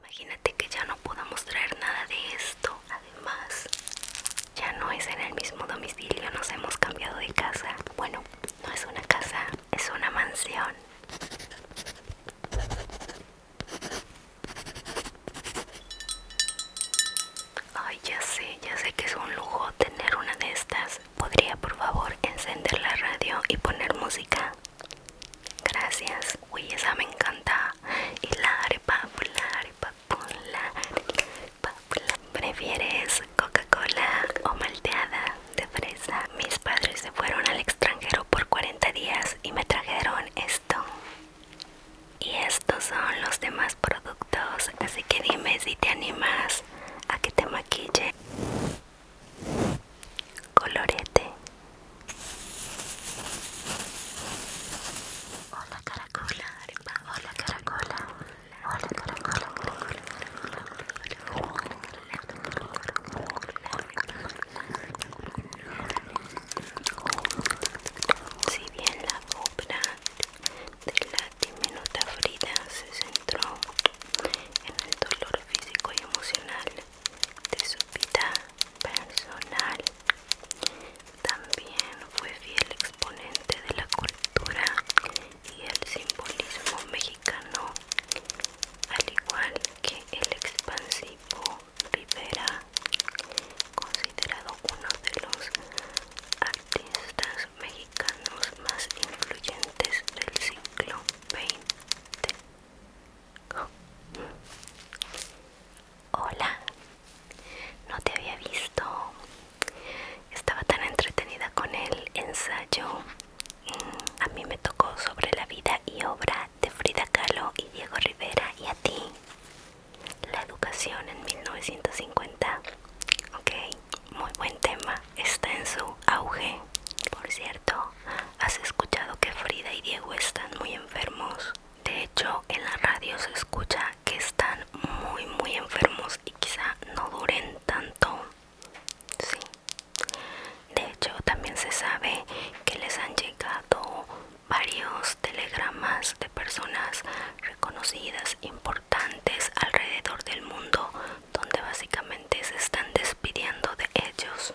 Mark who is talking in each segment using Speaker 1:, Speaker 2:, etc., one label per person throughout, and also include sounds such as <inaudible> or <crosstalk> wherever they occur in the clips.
Speaker 1: Imagínate que ya no podamos traer nada de esto. Además, ya no es en el mismo domicilio, nos hemos cambiado de casa. Bueno, no es una casa, es una mansión. Ay, ya sé, ya sé que es un lujo tener una de estas. ¿Podría por favor encender la radio y poner música? Gracias. Uy, esa me encanta. Y la arepa, la ¿Prefieres Coca-Cola o malteada de fresa? Mis padres se fueron al extranjero por 40 días y me trajeron esto. Y estos son los demás productos, así que dime si te animas a que te maquille colorete. Hola caracola, Hola caracola. Hola caracola. Si bien la obra de la diminuta Frida se centró en el dolor físico y emocional de su vida personal. También fue fiel exponente de la cultura y el simbolismo mexicano, al igual que el expansivo Rivera, considerado uno de los artistas mexicanos más influyentes del siglo XX. Hola, no te había visto. Estaba tan entretenida con el ensayo. Mm, a mí me tocó sobre la vida y obra de Frida Kahlo y Diego Rivera y a ti. La educación en 1950. Ok, muy buen tema. Está en su auge. Por cierto, ¿Has escuchado que Frida y Diego están muy enfermos? De hecho, en la radio se escucha que están muy, muy enfermos y quizá no duren tanto. Sí. De hecho, también se sabe que les han llegado varios telegramas de personas reconocidas, importantes alrededor del mundo, donde básicamente se están despidiendo de ellos.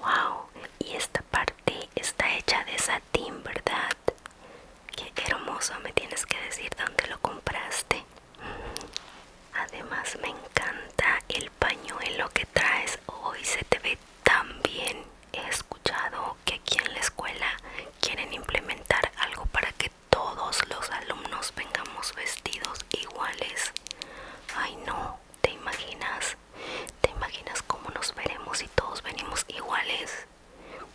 Speaker 1: Wow, y esta parte está hecha de satín, ¿verdad? Qué hermoso, me tienes que decir dónde lo compraste. Mm, además me encanta el pañuelo que traes hoy, se te ve tan bien. He escuchado que aquí en la escuela quieren implementar algo para que todos los alumnos vengamos vestidos iguales. Ay no, ¿Te imaginas? ¿Te imaginas cómo nos veremos si todos venimos iguales?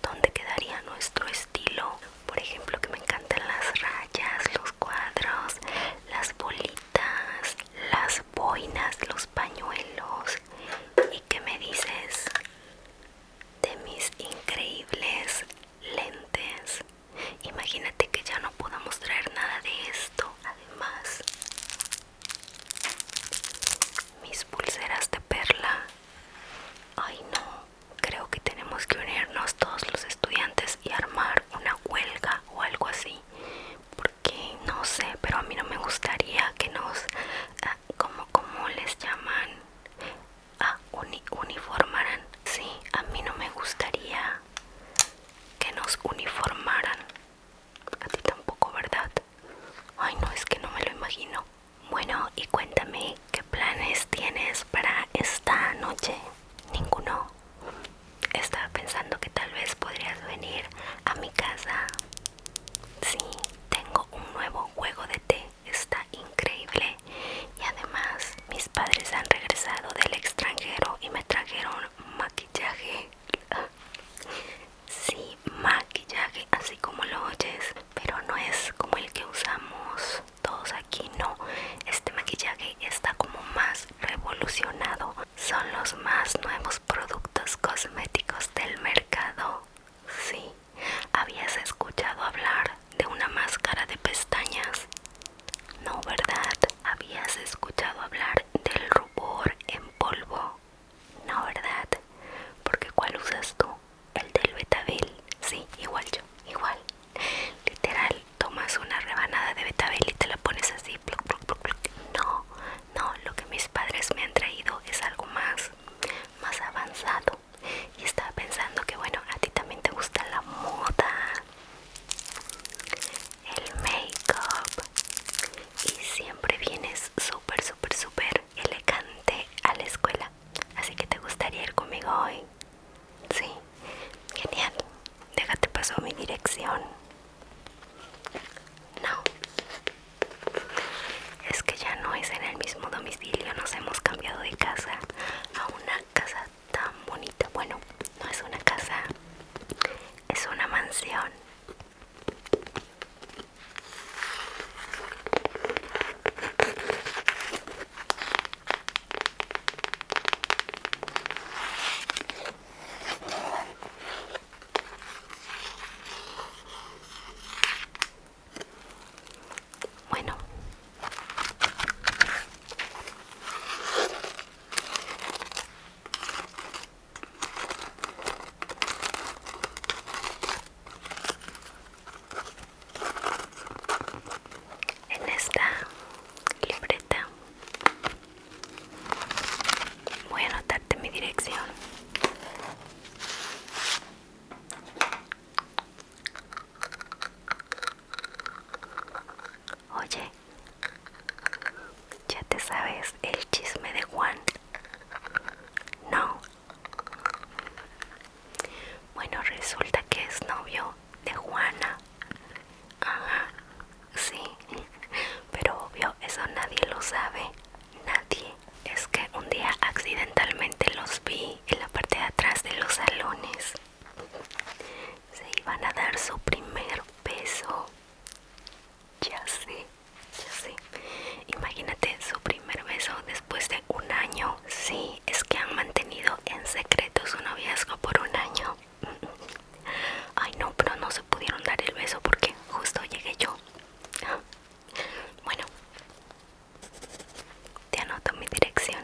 Speaker 1: ¿Dónde quedaría nuestro estilo? Por ejemplo, que me encantan las rayas, los cuadros, las bolitas, las boinas, los pañuelos. ¿Y qué me dices de mis increíbles lentes? Imagínate que ya no podamos traer nada de esto. Además, mis pulseras de perla. Ay no, creo que tenemos que unirnos todos los estudiantes y armar una huelga o algo así. Porque no sé, pero a mí no me gustaría que nos... Ah, como, como les llaman? a ah, uniformaran. Sí, a mí no me gustaría que nos uniformaran. A ti tampoco, ¿verdad? Ay, no, es que no me lo imagino. Bueno, y cuéntame, ¿qué planes tienes para esta noche? Ninguno. Estaba pensando que tal vez podrías venir a mi casa. si tengo un nuevo juego de té. Está increíble. Y además, mis padres han regresado del extranjero y me trajeron maquillaje sí maquillaje así como lo oyes pero no es como el que usamos todos aquí no este maquillaje está como más revolucionado son los más nuevos productos cosméticos del mercado sí habías escuchado hablar de una máscara de pestañas no verdad habías escuchado hablar del rubor en polvo? No, ¿verdad? Porque ¿cuál usas tú? El del betabel. Sí, igual yo, igual. Literal, tomas una rebanada de betabel y te la pones así. No, no, lo que mis padres me han traído es algo más, más avanzado. Y estaba pensando que, bueno, a ti también te gusta la moda el make-up y siempre vienes súper, súper, súper elegante a la escuela. Así que te gustaría ir conmigo hoy. Sí, genial. Déjate paso mi dirección. No. Es que ya no es en el mismo domicilio, nos hemos cambiado de casa a una casa tan bonita. Bueno, no es una casa, es una mansión. Bueno, en esta libreta voy a anotarte mi dirección. Oye, ¿ya te sabes el chisme de Juan? No. Bueno, resulta que es novio de Juana. Ajá, sí. Pero obvio, eso nadie lo sabe. Nadie. Es que un día accidentalmente los vi en la parte de atrás de los salones se iban a dar su primer beso. Ya sé, ya sé. Imagínate su primer beso después de un año. Sí, es que han mantenido en secreto su noviazgo por un año. <laughs> Ay, no, pero no se pudieron dar el beso porque justo llegué yo. Bueno, te anoto mi dirección.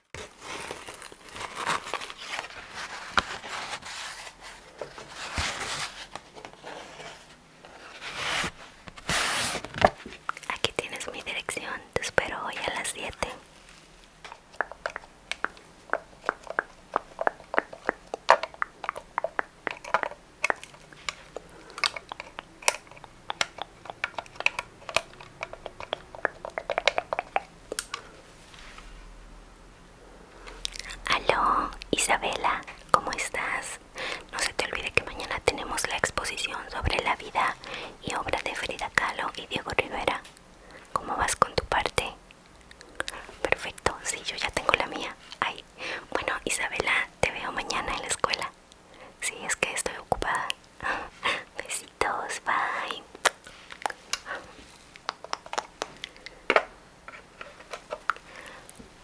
Speaker 1: Aquí tienes mi dirección, te espero hoy a las 7. Aló, Isabela, ¿cómo estás? No se te olvide que mañana tenemos la exposición sobre la vida y obra de Frida Kahlo y Diego Rivera. ¿Cómo vas con tu parte? Perfecto, sí, yo ya tengo la mía. Ay, bueno, Isabela, te veo mañana en la escuela si es que estoy ocupada. <laughs> Besitos, bye.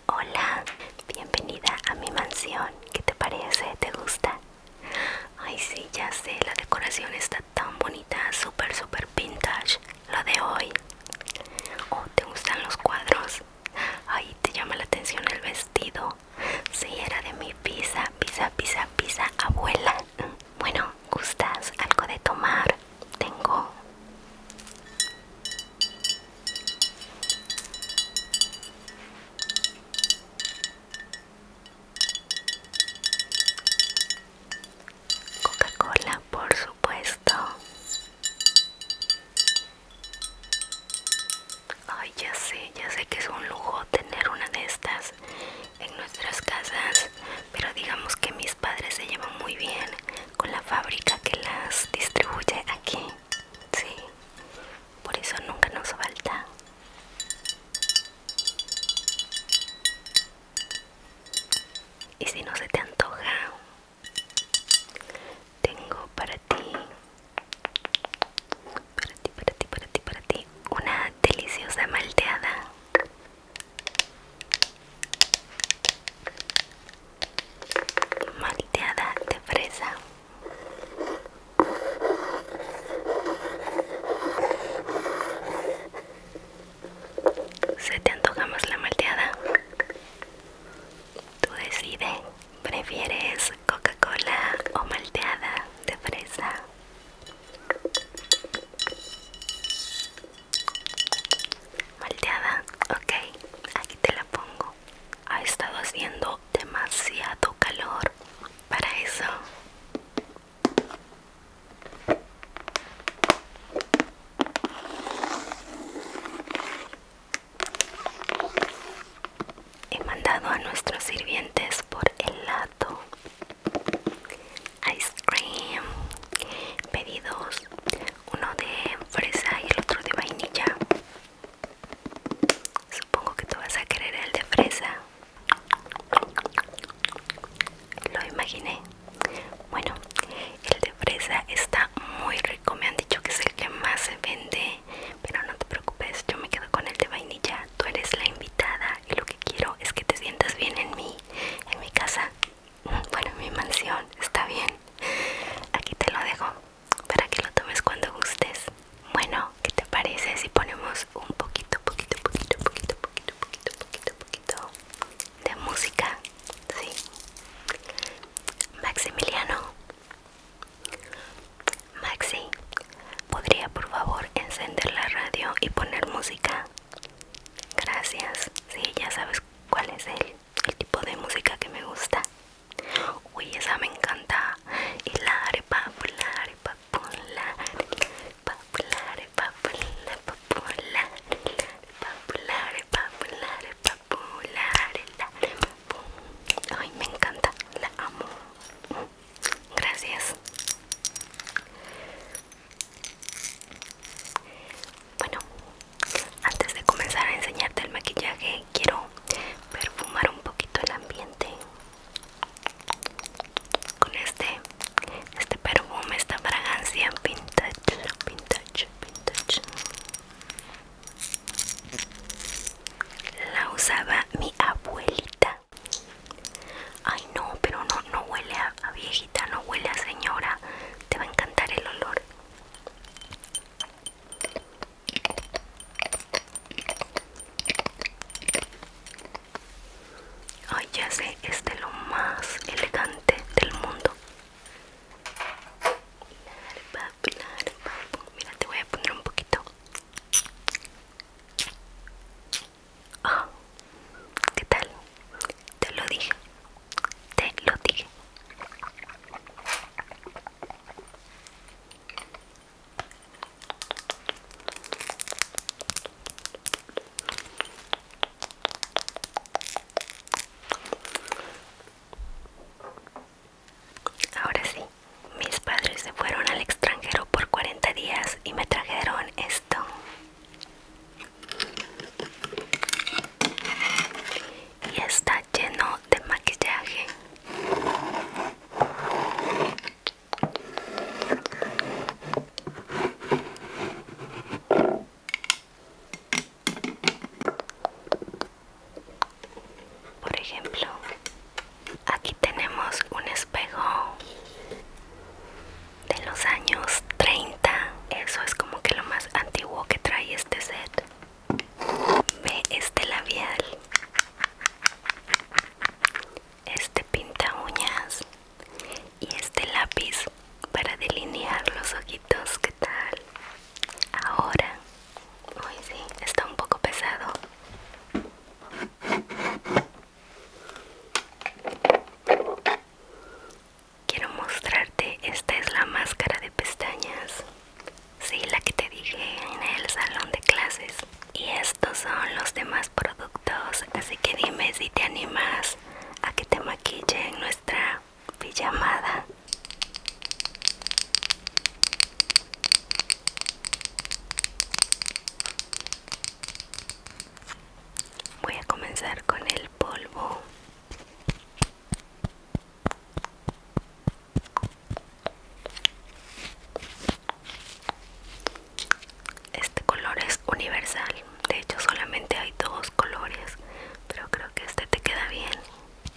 Speaker 1: Hola, bienvenida a mi mansión. ¿Qué te parece? ¿Te gusta? Ay, sí, ya sé, la decoración está tan bonita, súper, súper vintage. Lo de hoy. Oh, ¿te gustan los cuadros? Ay, te llama la atención el vestido si era de mi pisa pisa pisa pisa abuela. Bueno, ¿gustas algo de tomar? Tengo... Coca-Cola, por supuesto. Ay, ya sé, ya sé que es un lujo tener una de estas en nuestras casas, pero digamos que mis padres se llevan muy bien con la fábrica que las distribuye aquí. Sí, por eso nunca nos falta. Y si no se te antoja, tengo para para ti, para ti, para ti, para ti, una deliciosa malteada. Malteada de fresa. ¿Se te antoja más la malteada? Tú decides. ¿Prefieres Coca-Cola o malteada de fresa? Malteada, ok, aquí te la pongo. Ha estado haciendo demasiado calor para eso. He mandado a nuestros sirvientes por helado, ice cream, pedidos, uno de fresa y el otro de vainilla. Supongo que tú vas a querer el de fresa. Lo imaginé. Bueno, el de fresa está muy rico. Me han dicho que es el que más se vende pero no te preocupes, yo me quedo con el de vainilla, tú eres la invitada y lo que quiero es que te sientas bien en mí, en mi casa, mm, bueno, en mi mansión, está bien. Aquí te lo dejo para que lo tomes cuando gustes. Bueno, ¿qué te parece si ponemos un poquito, poquito, poquito, poquito, poquito, poquito, poquito, poquito de música? Sí. Maximiliano, Maxi, ¿podría por favor encender la radio y poner música? Gracias, sí, ya sabes cuál es el, tipo de música que me gusta. Uy, esa me encanta. Y ay me encanta la amo gracias bueno antes de comenzar a enseñarte el maquillaje quiero perfumar un poquito el ambiente con este este perfume esta fragancia vintage vintage vintage la usaba mi abuelita. Ay no, pero no, no huele a, viejita, no huele a señora. Te va a encantar el olor. Ay, ya sé, es de lo más elegante del mundo. Mira, te voy a poner un poquito. Ah, ¿Qué tal? Te lo dije. Te lo dije. Ahora sí, mis padres se fueron al extranjero por 40 días y me trajeron esto. Y está lleno de maquillaje. Por ejemplo, aquí tenemos un espejo de los años 30. Eso es como que lo más antiguo que trae este set. Ve este labial. Este pinta uñas y este lápiz para delinear los ojitos tal? Ahora, uy sí, está un poco pesado. Quiero mostrarte, esta es la máscara de pestañas. Sí, la que te dije en el salón de clases. Y estos son los demás productos, así que dime si te animas a que te maquille en nuestra Voy a comenzar con el polvo. Este color es universal, de hecho solamente hay dos colores, pero creo que este te queda bien.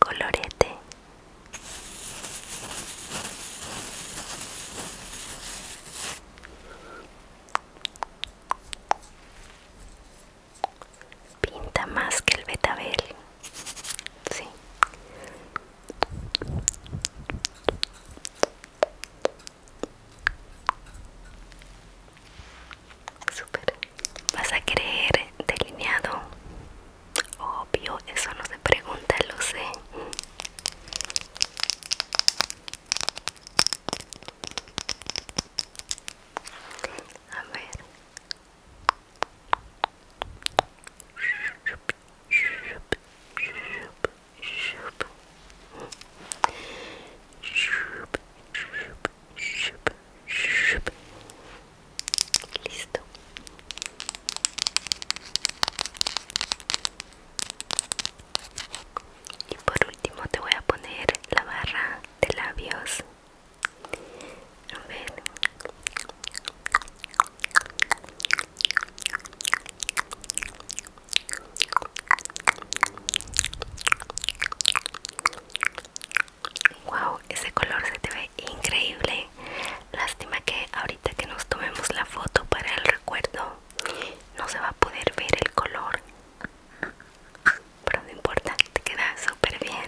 Speaker 1: Colorete pinta más que el betabel sí super vas a querer delineado obvio eso no se pregunta lo sé a ver Listo. Y por último te voy a poner la barra de labios Wow, ese color se te ve increíble. Lástima que ahorita que nos tomemos la foto para el recuerdo no se va a poder ver el color pero no importa, te queda súper bien.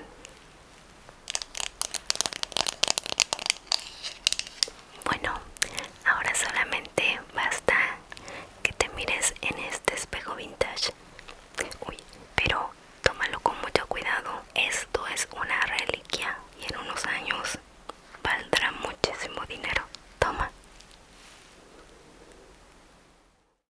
Speaker 1: Bueno, ahora solamente basta que te mires en este espejo vintage. Uy, pero tómalo con mucho cuidado. Esto es una reliquia y en unos años valdrá muchísimo dinero. Toma.